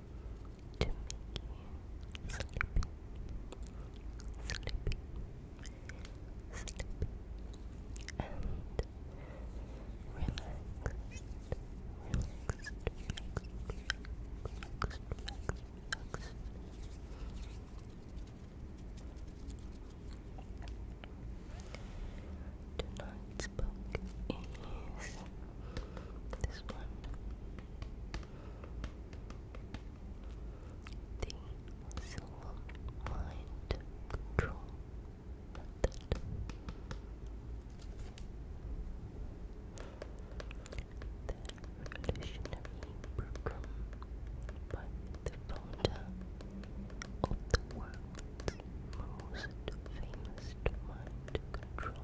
to make you sleepy, sleepy, sleepy, and relaxed, relaxed, relaxed, relaxed, Tonight's book is this one. The Mind Control Method. revolutionary program by the founder of the world's most famous mind control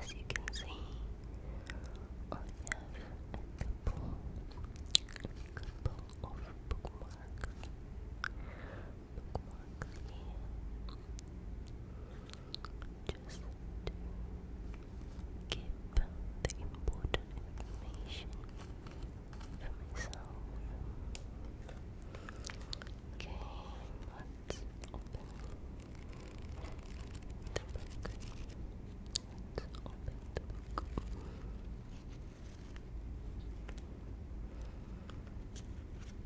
As you can see, I have a couple, of bookmarks bookmarks here just keep the important information for myself. Okay, let open Let's open the book.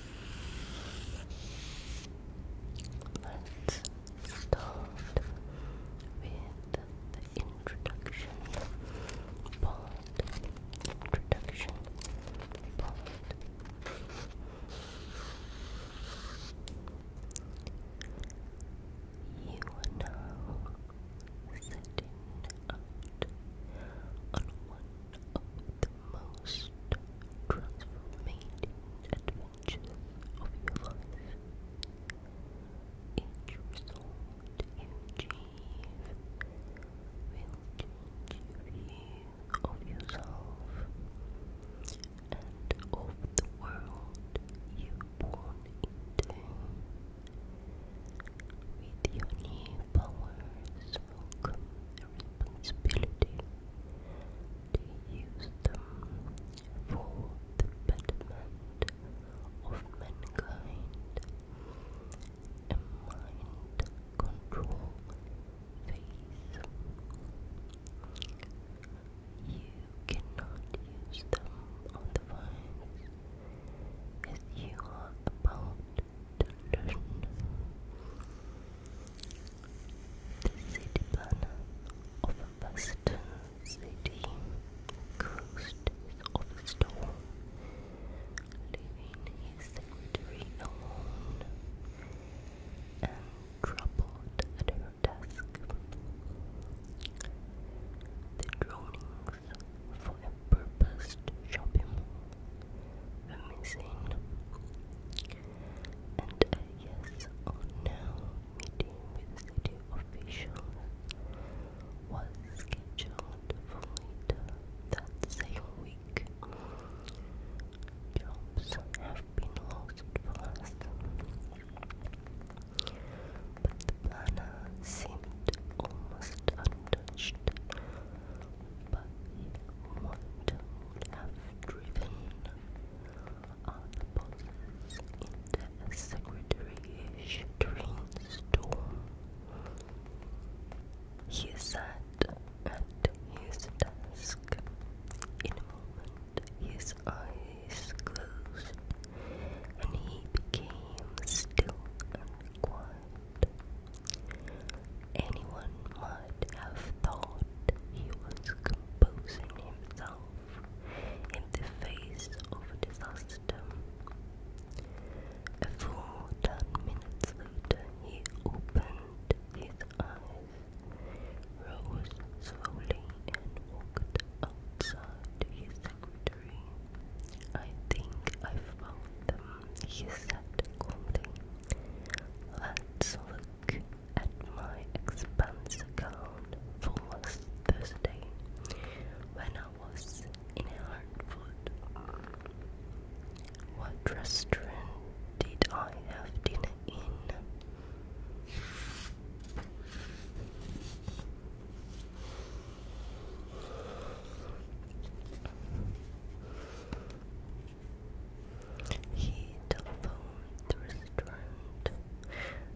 Let's start with the introduction part. Introduction part. You are now setting out on one of the most transformative adventures of your life. Each result you achieve will change your of yourself and of the world you were born into. With your new powers, welcome responsibility to use them for the betterment of mankind and mind control phase. You cannot use them on the vines as you are about to learn. The city planner of Western City closed his office door, his secretary alone and troubled at her desk. The drawings for a purposed shopping mall missing and a yes or no meeting with city officials was scheduled for later that same week. Jobs have been lost for us, but the planner seemed almost untouched but want to have driven our bosses into a secretary-ish storm. He sat at his desk. In a moment, his eyes closed, and he became still and quiet. Anyone might have thought he was composing himself in the face of a disaster. A full ten minutes later, he opened his eyes, rose slowly, and walked outside to his secretary. I think I found them, he said calmly. Let's look at my expense account for last Thursday when I was in Hartford. What restaurant did I have dinner in? He telephoned the restaurant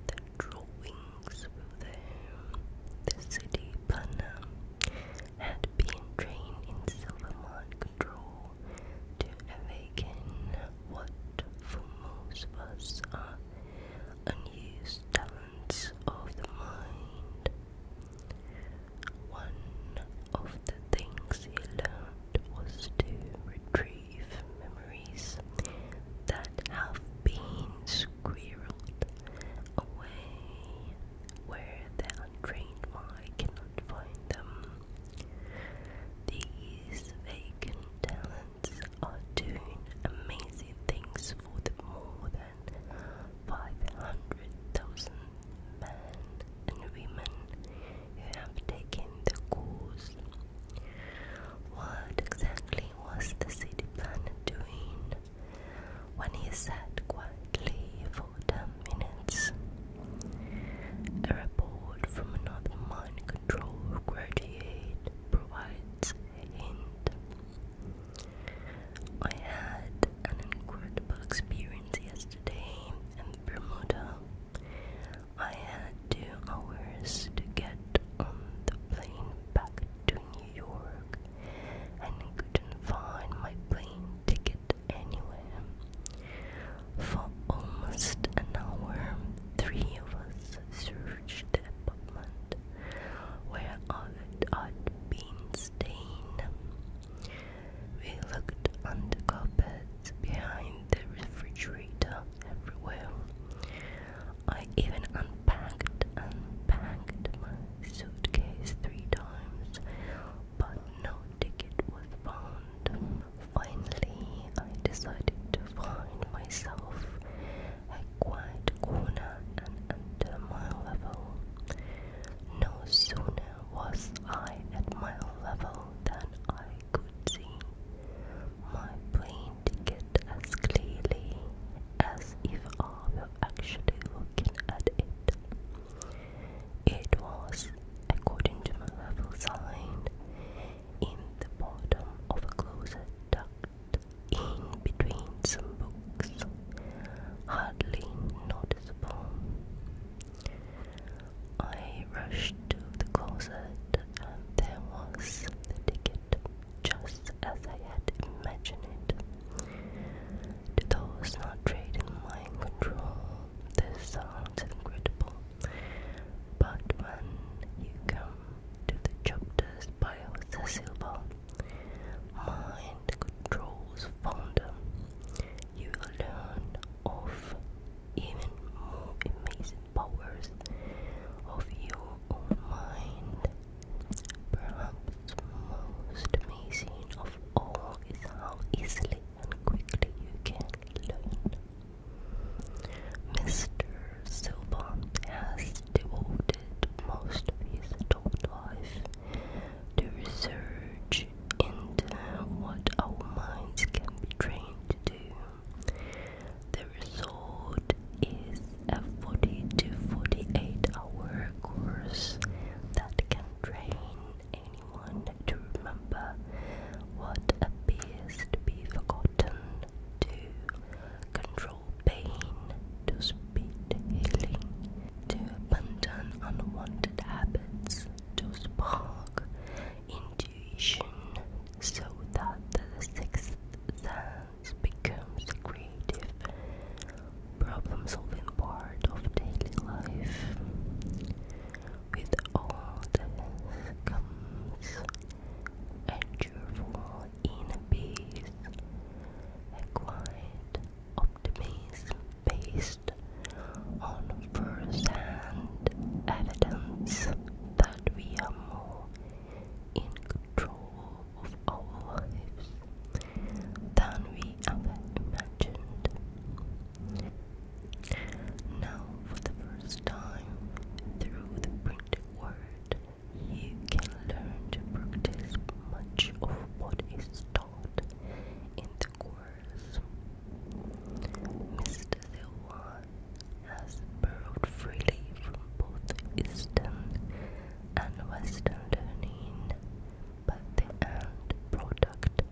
the drawings for them. The city planner had been trained in Silvermont control to awaken what for most of us are unused talents of the mind. One of the things he learned was to retrieve memories that have been squirreled away where the untrained mind cannot find them. These vacant talents are doing amazing things for more than 500,000 men and women who have taken the course. What exactly was the city planner doing when he sat quietly for ten minutes? A report from another mind control graduate provides a hint. I had an incredible experience yesterday in Bermuda. I had two hours to get on the plane back to New York and couldn't find my plane ticket anywhere. For almost an hour, three of us searched the apartment where I'd been staying. We looked under carpets, behind the refrigerator, everywhere. I even unpacked, and packed my suitcase three times, but no ticket was found. Finally, I decided to find myself a quiet corner and under my level. No sooner was I at my level that I could see my brain ticket as clearly as if I were actually looking at it. It was, according to my level sign, in the bottom of a closet tucked in between some books, hardly noticeable. I rushed to the closet, and there was the ticket, just as I had imagined it. To those not trained in mind control, this sounds incredible, but when you come to the chapters by Jose Silva, mind control's founder, you will learn of even more amazing powers of your own mind. Perhaps most amazing of all is how easily and quickly you can learn. Mr. Silva has devoted most of his adult life to research into what our minds can be trained to do. The result is a 40 to 48 hour course that can train anyone to remember what appears to be forgotten, to control pain, to speed healing, to abandon unwanted habits, to spark intuition so that the sixth sense becomes a creative problem solving part of daily life. With all this comes a cheerful inner peace, a quiet optimism based on first-hand evidence that we are more in control of our lives than we ever imagined. Now, for the first time, through the printed word, you can learn to practice much of what is taught in the chorus. Mr. Silva has borrowed freely from both Eastern and Western learning, but the end product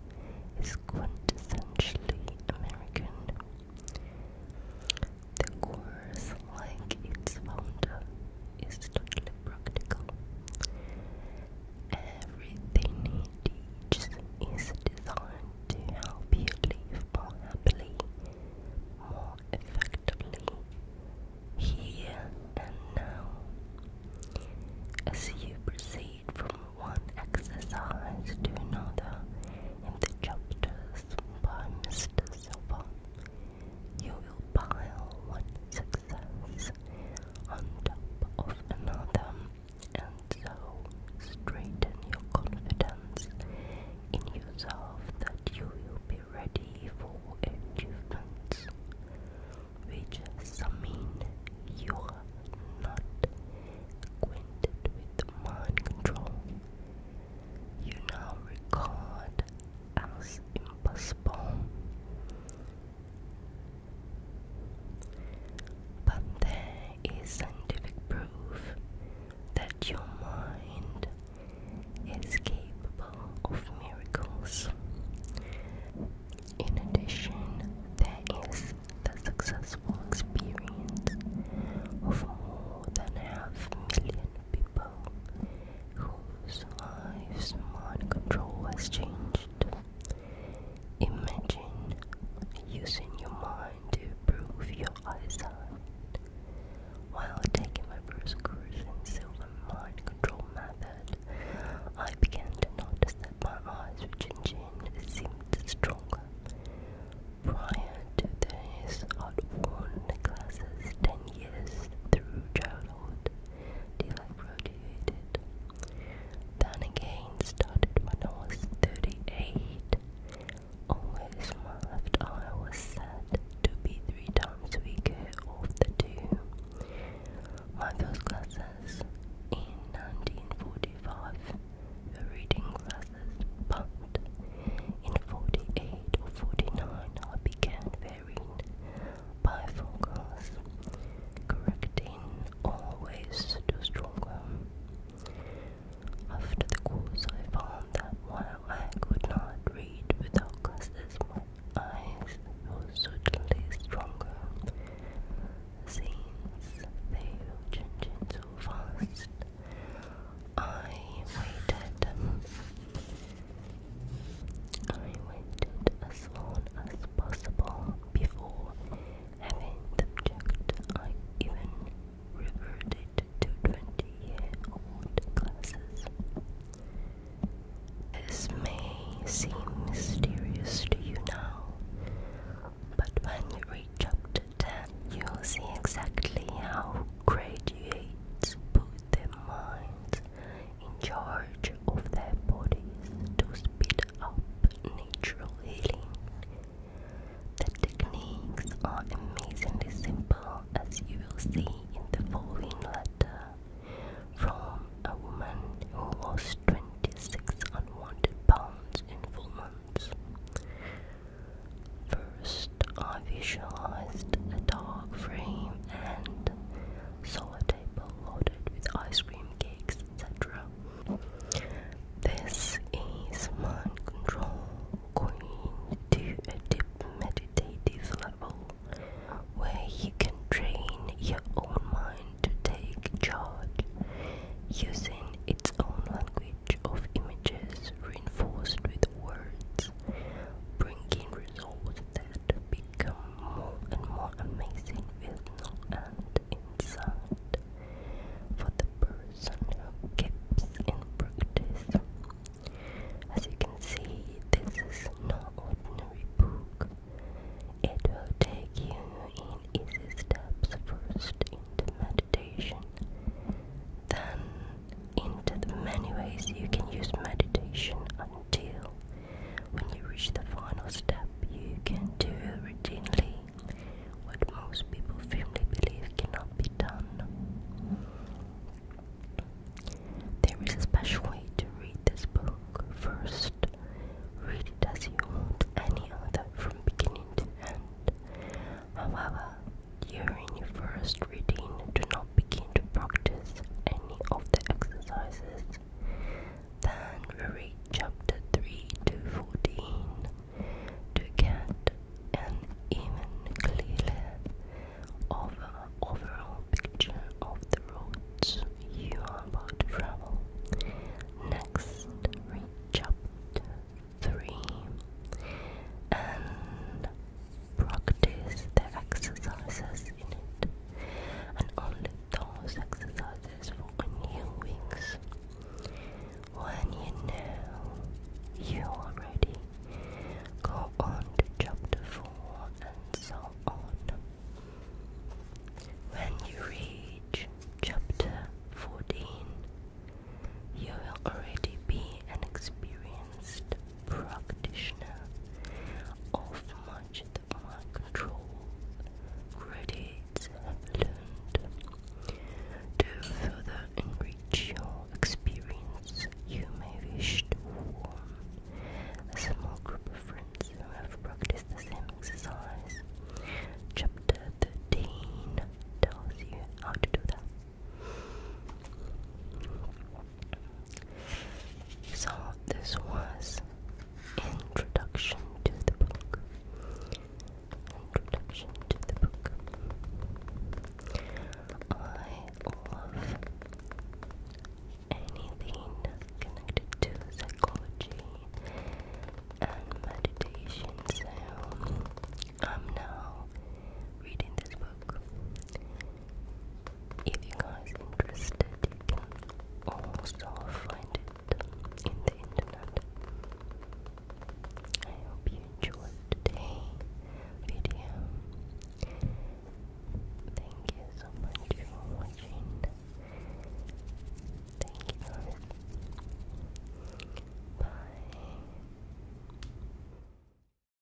is quintessentially American. The course, like its founder, is totally practical. Everything he teaches is designed to help you live more happily, more effectively, here and now. As you proceed from one exercise to another in the chapters by Mr. Silver, you will pile one success on top of another, and so strengthen your confidence in yourself that you will be ready for achievements, which some mean you are not acquainted with mind control. You now regard as impossible. But there is scientific proof that your mind is capable of miracles. In addition, there is the successful experience of more than half a million people whose lives mind control has changed. Imagine using your mind to improve your eyesight while taking my first course in silver mind control method. I began to notice that my eyes were changing seemed stronger. Prior to this, I'd worn glasses ten years through childhood rotated. Then again started when I was 38. Always my left eye was said to be three times weaker of the two. My first classes in 1945 were reading classes, but in 48 or 49 I began by Focus, correcting always to stronger. After the course, I found that while I could not read without glasses, my eyes were certainly stronger, since they were so fast. I waited I wanted as long as possible before having the object. I even reverted to 20 year old classes. This may seem mysterious to you now, but when you read chapter 10, you'll see exactly how graduates put their minds in charge of their bodies to speed up natural healing. The techniques are amazingly simple as you will see in the following letter from a woman who lost 26 unwanted pounds in four months. First, I visualized a dark frame and solar table loaded with ice cream, cakes, etc. This is mind control going to a deep meditative level where you can train your own mind to take charge using its own language of images reinforced with words, bringing results that become more and more amazing with no end for the person who keeps in practice. As you can see, this is no ordinary book. It will take you in easy steps first into meditation, then into the many ways you can use meditation until when you reach the final step, you can do routinely what most people firmly believe cannot be done. There is a special way to read this book. First, read it as you would any other from beginning to end. However, during your first reading, do not begin to practice of the exercises. Then we read chapter 3 to 14 to get an even clearer overall picture of the roads you are about Next, read chapter 3 practice the exercises in it, and only those exercises for new wings. When you know you are ready, go on to chapter 4 and so on. When you reach chapter 14, you will already be an experienced practitioner of much that control credits have learned. To further enrich your experience, you may wish to form a small group of friends who have practiced the same exercise. Chapter 13 tells you how to do that. So this was introduction to the book. Introduction to the book. I love anything connected to psychology and meditation, so I'm now reading this book. If you guys interested, you can also find it in the internet. I hope you enjoyed today's video. Thank you so much for watching. Thank you Bye.